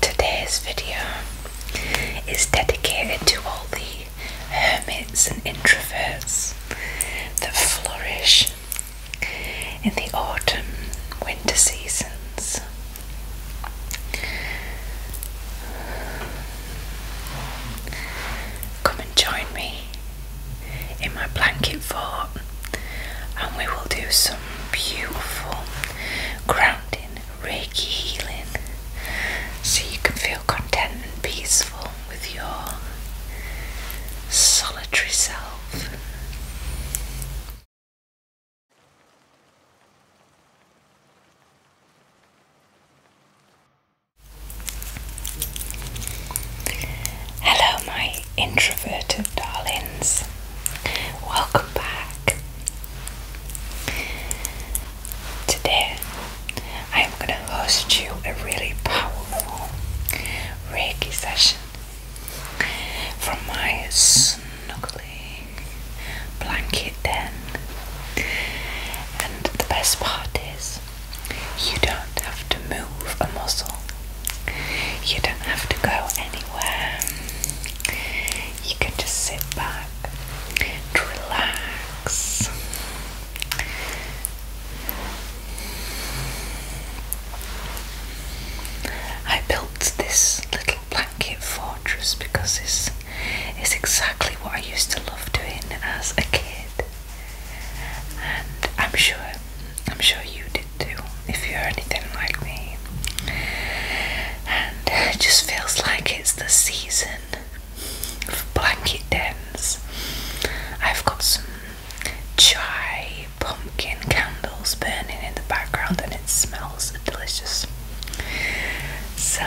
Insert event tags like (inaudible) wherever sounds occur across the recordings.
Today's video is dedicated to all the hermits and introverts that flourish in the autumn winter seasons. Come and join me in my blanket fort, and we will do some beautiful grounding Reiki healing so you can feel content and peaceful with your solitary self. Hello, my introverted darlings. Welcome back. Today, I am gonna host you a really powerful Reiki session from my snuggly blanket den. And the best part is, you don't have to move a muscle, you don't have to go anywhere you can just sit back and relax. I built this little blanket fortress because this is exactly what I used to love doing as a kid, and I'm sure I'm sure you did too if you're anything like me. And (laughs) it just feels like it's the season of blanket dens. I've got some chai pumpkin candles burning in the background and it smells delicious. So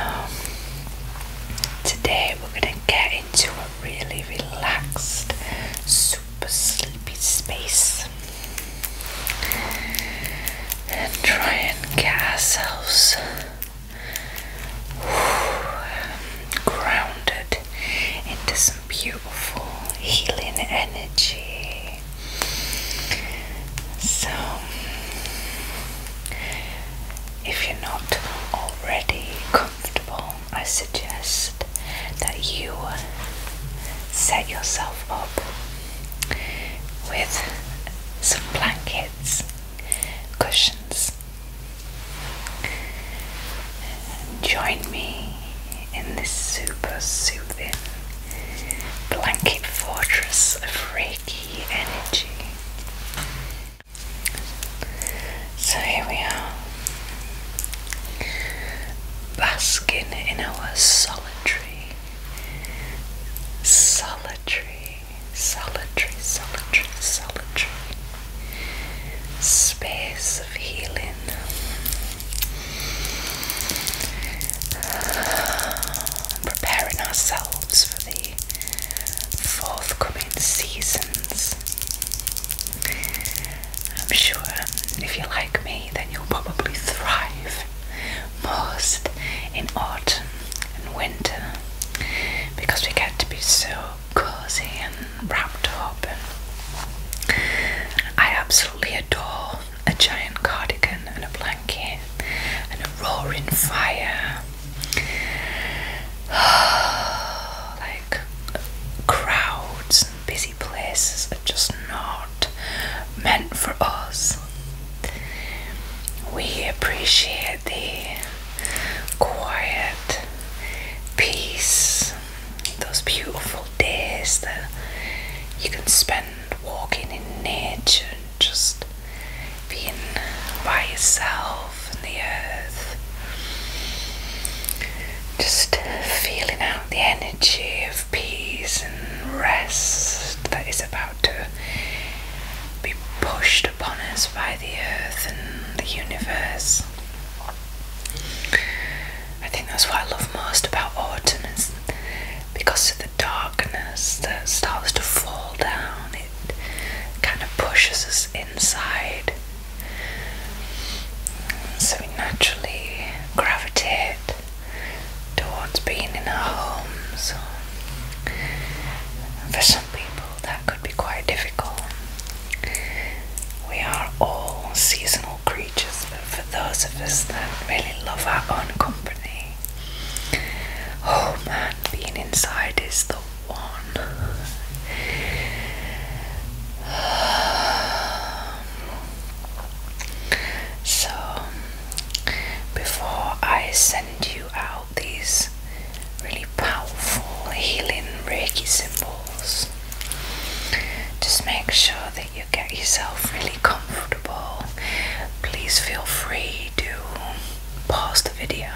today we're going to get into a really relaxed, super sleepy space and try and get ourselves um, grounded into some beautiful healing energy. So, if you're not already comfortable, I suggest that you set yourself up with some blankets, cushions. Join me in this super soothing blanket fortress of Reiki energy. So here we are, basking in our solitary solitary, solitary, solitary, solitary space of healing. (sighs) Preparing ourselves for the forthcoming seasons. I'm sure if you like me, then you'll probably thrive most in autumn and winter because we get to be so cozy and wrapped up. And I absolutely adore a giant cardigan and a blanket and a roaring fire. (sighs) like crowds and busy places just not meant for us. We appreciate the quiet peace, those beautiful days that you can spend walking in nature just being by yourself and the earth. Just feeling out the energy of peace and rest that is about to be pushed upon us by the earth and the universe. I think that's what I love most about autumn is because of the darkness that starts to fall down, it kind of pushes us inside. So we naturally gravitate towards being in our homes. For some people, that could be quite difficult. We are all seasonal creatures, but for those of us that really love our own company, oh man, being inside is the one. (sighs) So, before I send you out these really powerful healing Reiki symbols, just make sure that you get yourself really comfortable. Please feel free to pause the video,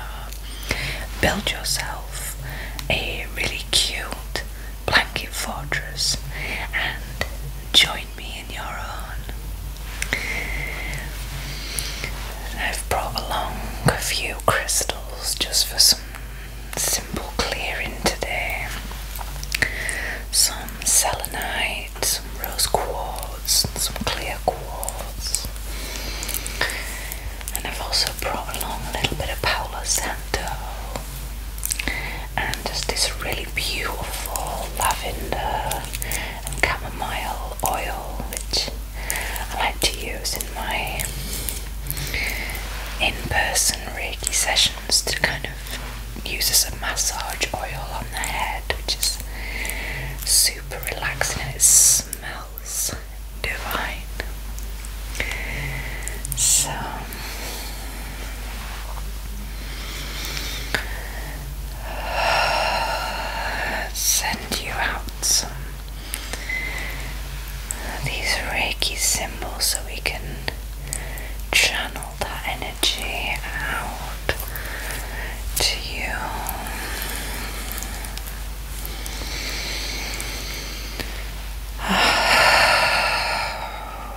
build yourself a really cute blanket fortress and join me in your own. I've brought along a few crystals just for some simple clearing today. Some selenite, some rose quartz, some clear quartz. And I've also brought along a little bit of Palo Santo and just this really beautiful lavender and chamomile oil, which I like to use in my in-person Reiki sessions to kind of use as a massage oil on the head, which is super relaxing and it smells divine. So Send you out some these Reiki symbols so we can channel that energy out to you. (sighs)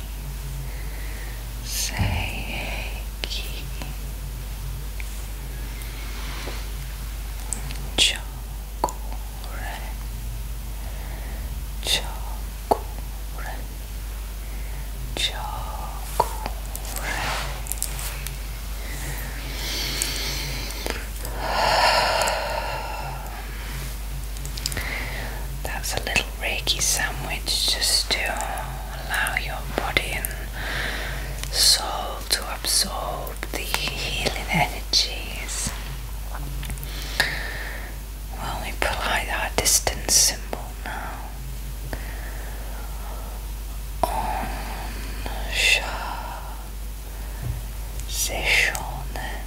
Seiki Chokure Chokure Chokure That's a little Reiki sandwich just to allow your body and soul to absorb the healing energies. Well, we pull our distance symbol now. On Sha Seshonen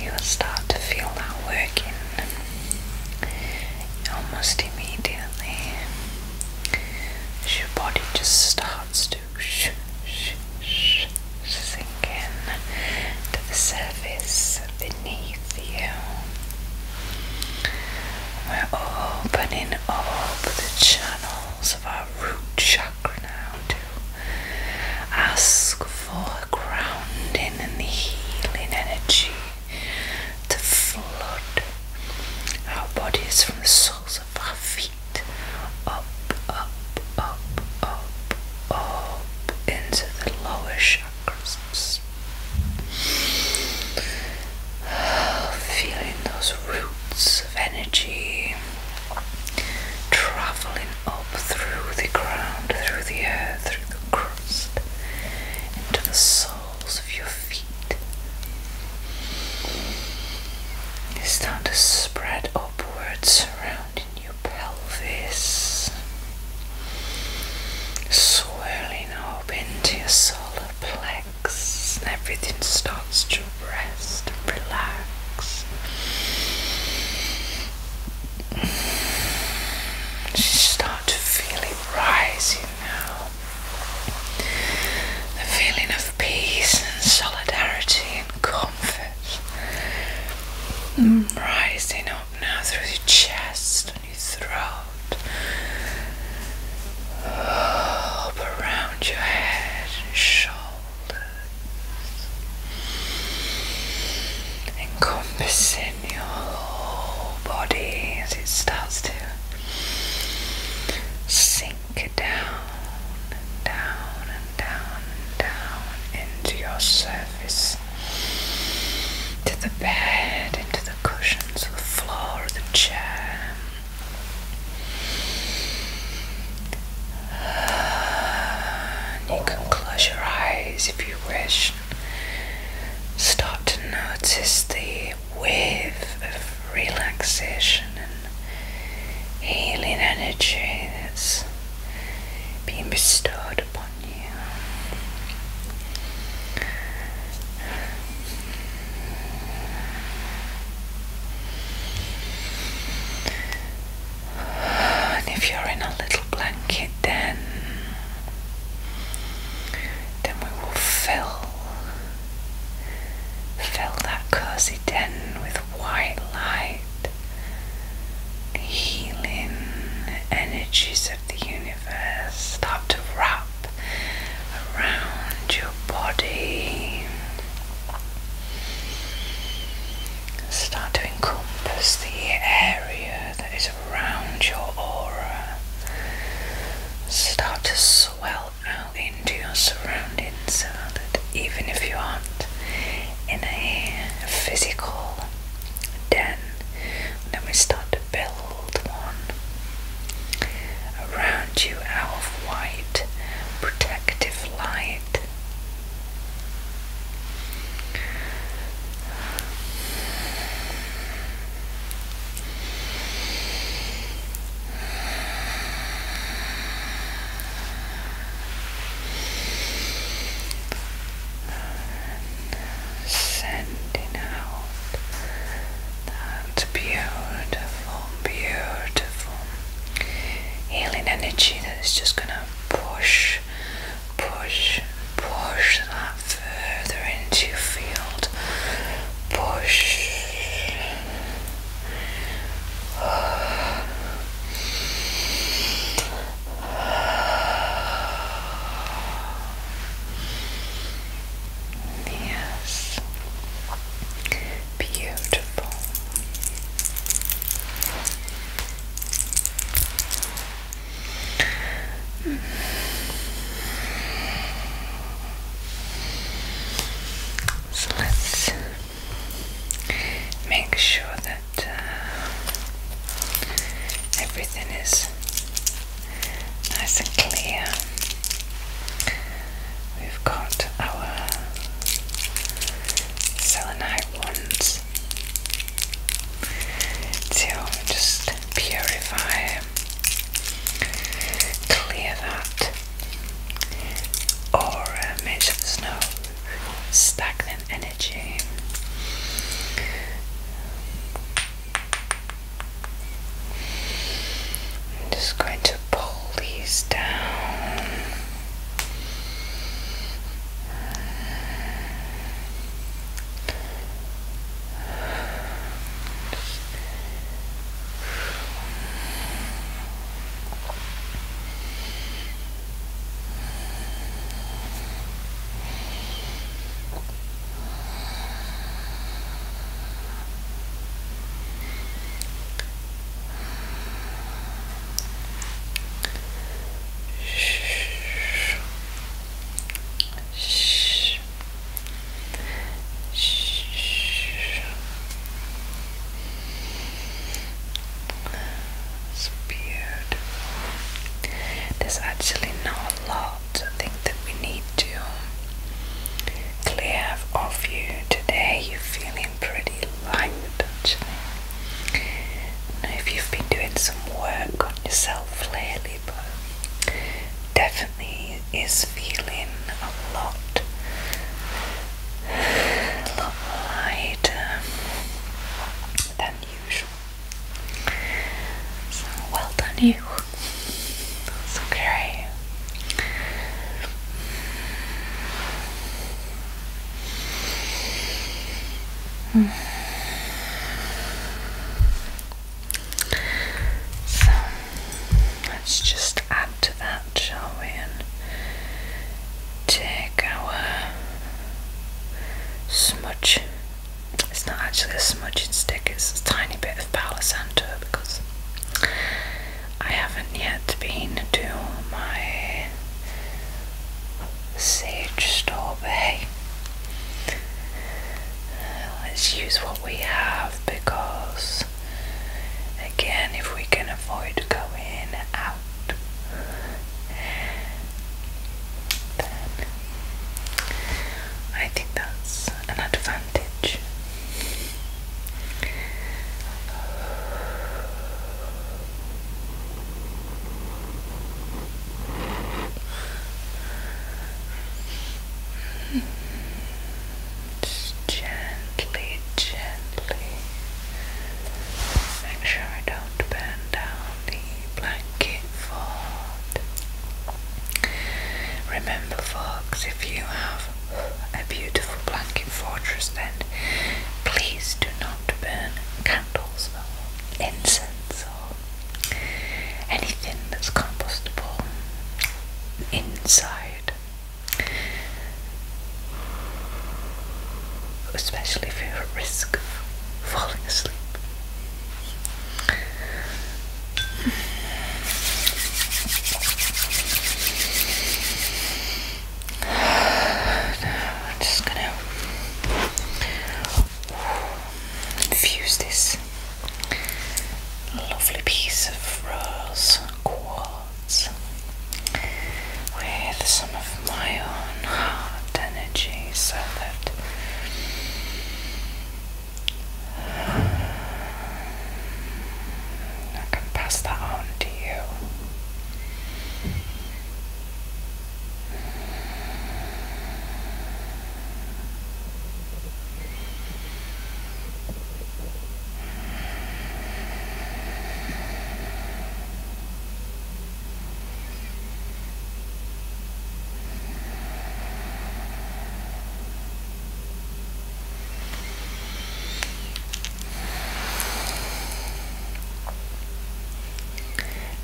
You'll start to feel that working almost immediately. your body just starts to sh sh sh sink in to the surface beneath you. We're opening up the channel walls of our root chakra now to ask for grounding and the healing energy to flood our bodies from the soles of our feet up, up, up, up, up into the lower chakras. (sighs) Feeling those roots of energy traveling up through the ground, through the earth, through the crust, into the soles of your feet. You start to spread upwards, surrounding your pelvis, swirling up into your solar plexus, and everything starts to rest, relax. Just start to feel it rising now. The feeling of peace and solidarity and comfort mm. rising up now through your chest and your throat. Up around your head and shoulders encompassing your whole body as it starts to sink down down and down down into your surface, to the bed, into the cushions, the floor, the chair. (sighs) You can close your eyes if you wish. Start to notice the wave of relaxation and healing energy that's being bestowed upon you if you're in a little blanket, then then we will fill fill that cozy den with white light. healing energies of the universe start to wrap around your body Start to encompass the area that is around your aura. Start to swell out into your surroundings so that even if you aren't in a physical den, then we start to build one around you out of white protective light. sending out that beautiful, beautiful healing energy that is just going to push, push, push that further into your field. Push. Yes. Beautiful. So let's make sure that uh, everything is nice and clear. We've got our selenite ones to just purify, clear that aura, uh, make sure there's no stagnant energy. just going to to pull these down. Shh. Shh. Shh. It's beautiful. There's actually not a lot I think that we need to clear of you. Today you're feeling pretty light actually. if you've been doing some work on yourself lately but definitely is feeling a lot a lot lighter than usual. So well done you. It's okay. So let's just add to that, shall we? And take our smudge. It's not actually a smudging stick, it's a tiny bit of Palo Santo because I haven't yet been to my sage store bay. Uh, let's use what we have because, again, if we can avoid going out, I think that's an advantage. Just gently, gently. Make sure I don't burn down the blanket fold. Remember, folks, if you have a beautiful blanket fortress, then please do not burn candles or incense or anything that's compostable inside, especially if you're at risk of falling asleep. I'm just gonna infuse this lovely piece of rose quartz with some of my own heart energy so that I can pass that on to you.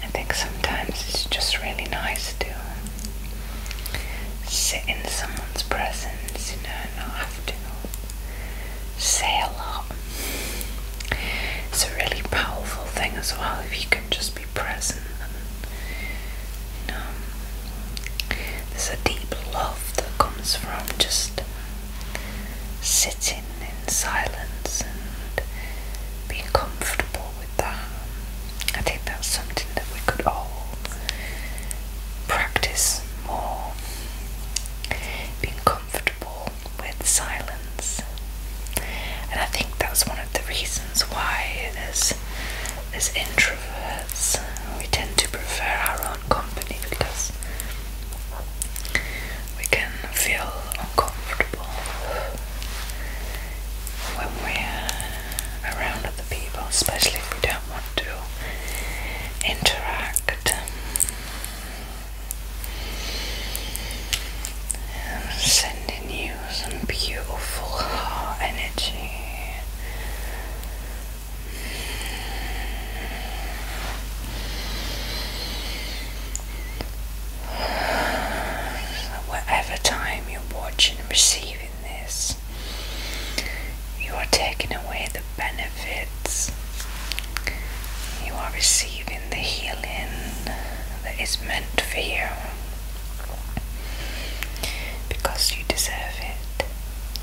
I think sometimes it's just really nice to sit in someone's presence, you know, and not have to say a lot. It's a really powerful thing as well if you can just be present and you know there's a deep love that comes from just sitting in silence and being comfortable with that. I think that's something that we could all practice more. Being comfortable with silence. And I think that's one of the reasons why as as introverts we tend to prefer our own company because we can feel uncomfortable when we're around other people, especially if we don't want to interact. I'm um, sending you some beautiful energy whatever time you're watching and receiving this, you are taking away the benefits. You are receiving the healing that is meant for you because you deserve it.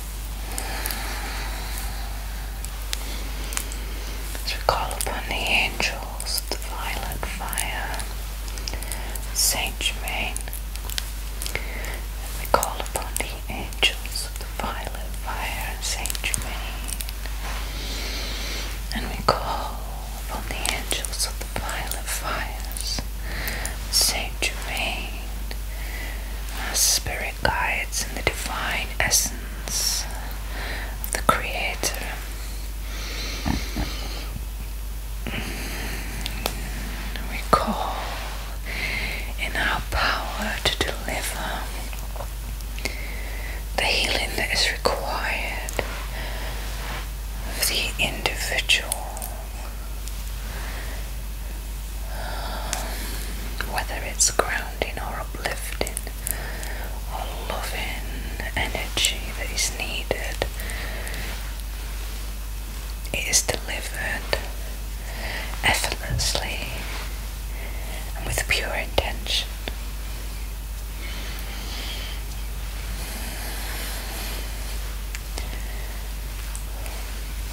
As we call upon the angels, the violet fire, Saint Germain, and we call upon the angels, the violet fire, Saint Germain, and we call upon the angels of the violet fires, Saint Germain, spirit guides and the divine essence of the Creator. Mm. We call in our power to deliver the healing that is required of the individual whether it's grounding or uplifting or loving energy that is needed, it is delivered effortlessly and with pure intention.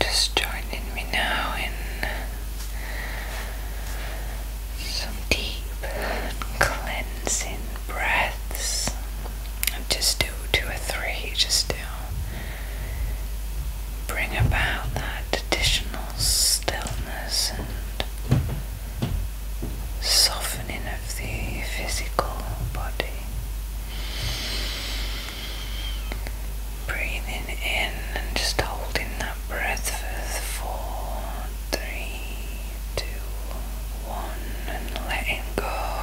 Just joining me now in some deep cleansing breaths. Just do two or three, just do bring about that additional stillness and softening of the physical body. Breathing in and just holding that breath for four, three, two, one, and letting go.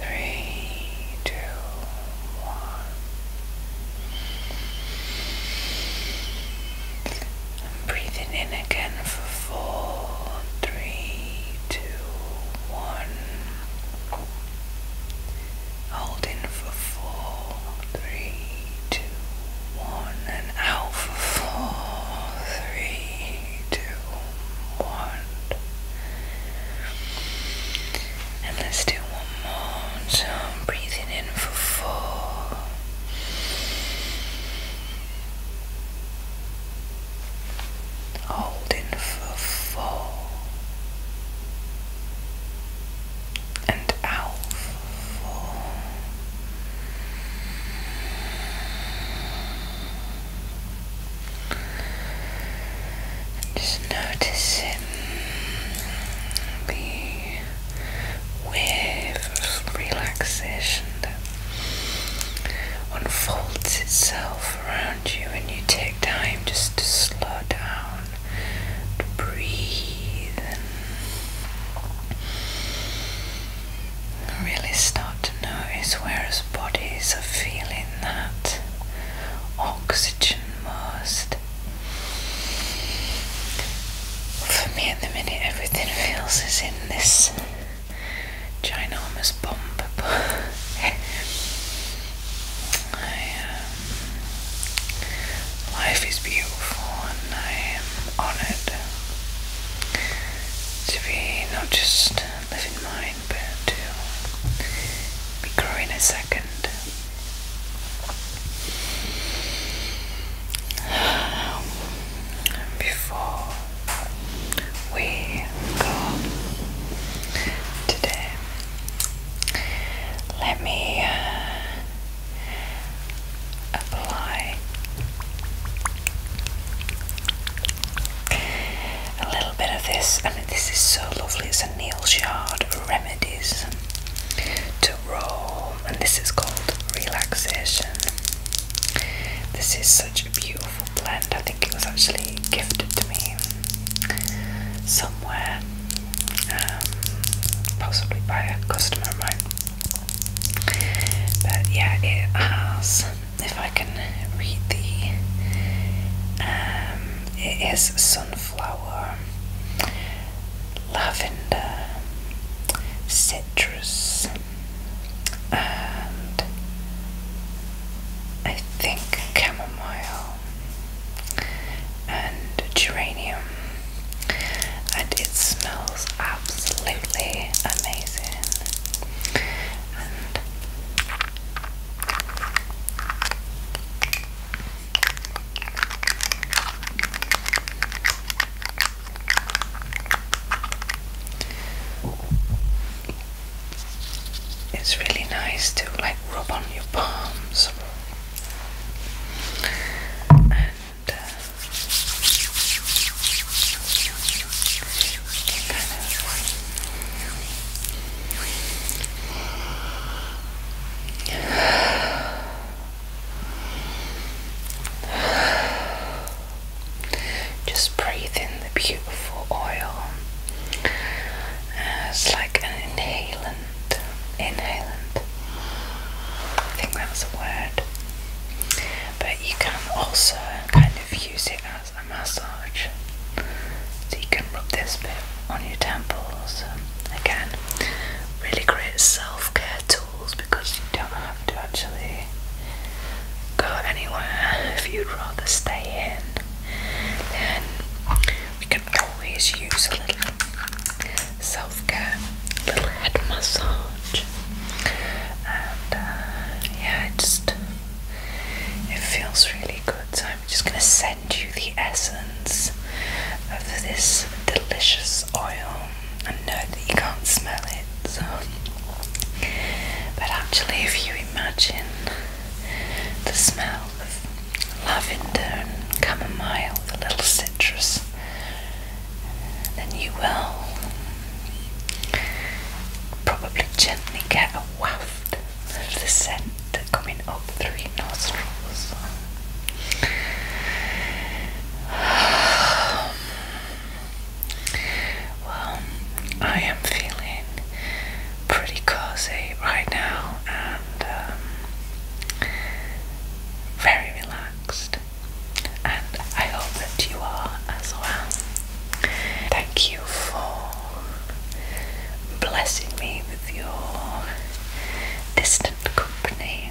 three, two. I'm breathing in again for four, three, two, one. Holding for four, three, two, one, and out for four, three, two, one. And let's do one more. breathing in for four. Holding for four. And out for just noticing the wave of relaxation that unfolds itself around you, and you take time just to slow down, to breathe, and really start to notice where whereas bodies are feeling that oxygen most. For me, at the minute, everything feels is in this ginormous bomb, (laughs) but um, life is beautiful, and I am honoured to be not just living my but to be growing a second. (sighs) Before we go today, let me uh, apply a little bit of this. I mean, this is so lovely. It's a Neil Yard Remedies to Roll, and this is called Relaxation. This is such a beautiful blend. I think it was actually gifted to me somewhere, um, possibly by a customer of But yeah, it has. If I can read the um, it is sunflower, lavender, citrus, and I think chamomile and geranium, and it smells absolutely amazing. It's really nice to like rub on your palms and uh, kind of just breathe in the beautiful oil uh, It's like an inhalant. Inhalant. I think that's a word. But you can also kind of use it as a massage. So you can rub this bit on your temples. Um, again, really great self-care tools because you don't have to actually go anywhere if you'd rather stay in. Then we can always use a little self-care, little head massage. Uh, yeah, it just it feels really good. So I'm just going to send you the essence of this delicious oil. and know that you can't smell it, so. but actually, if you imagine the smell of lavender and chamomile, a little citrus, then you will probably gently get a waft the scent coming up through nostrils. (sighs) Well, I am feeling pretty cozy right now and um, very relaxed, and I hope that you are as well. Thank you for blessing me with your distant company.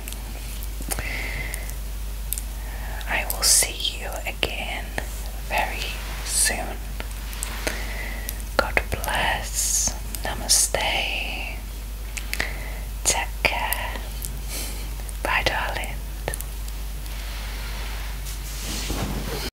I will see you again very soon. God bless. Namaste. Take care. Bye, darling.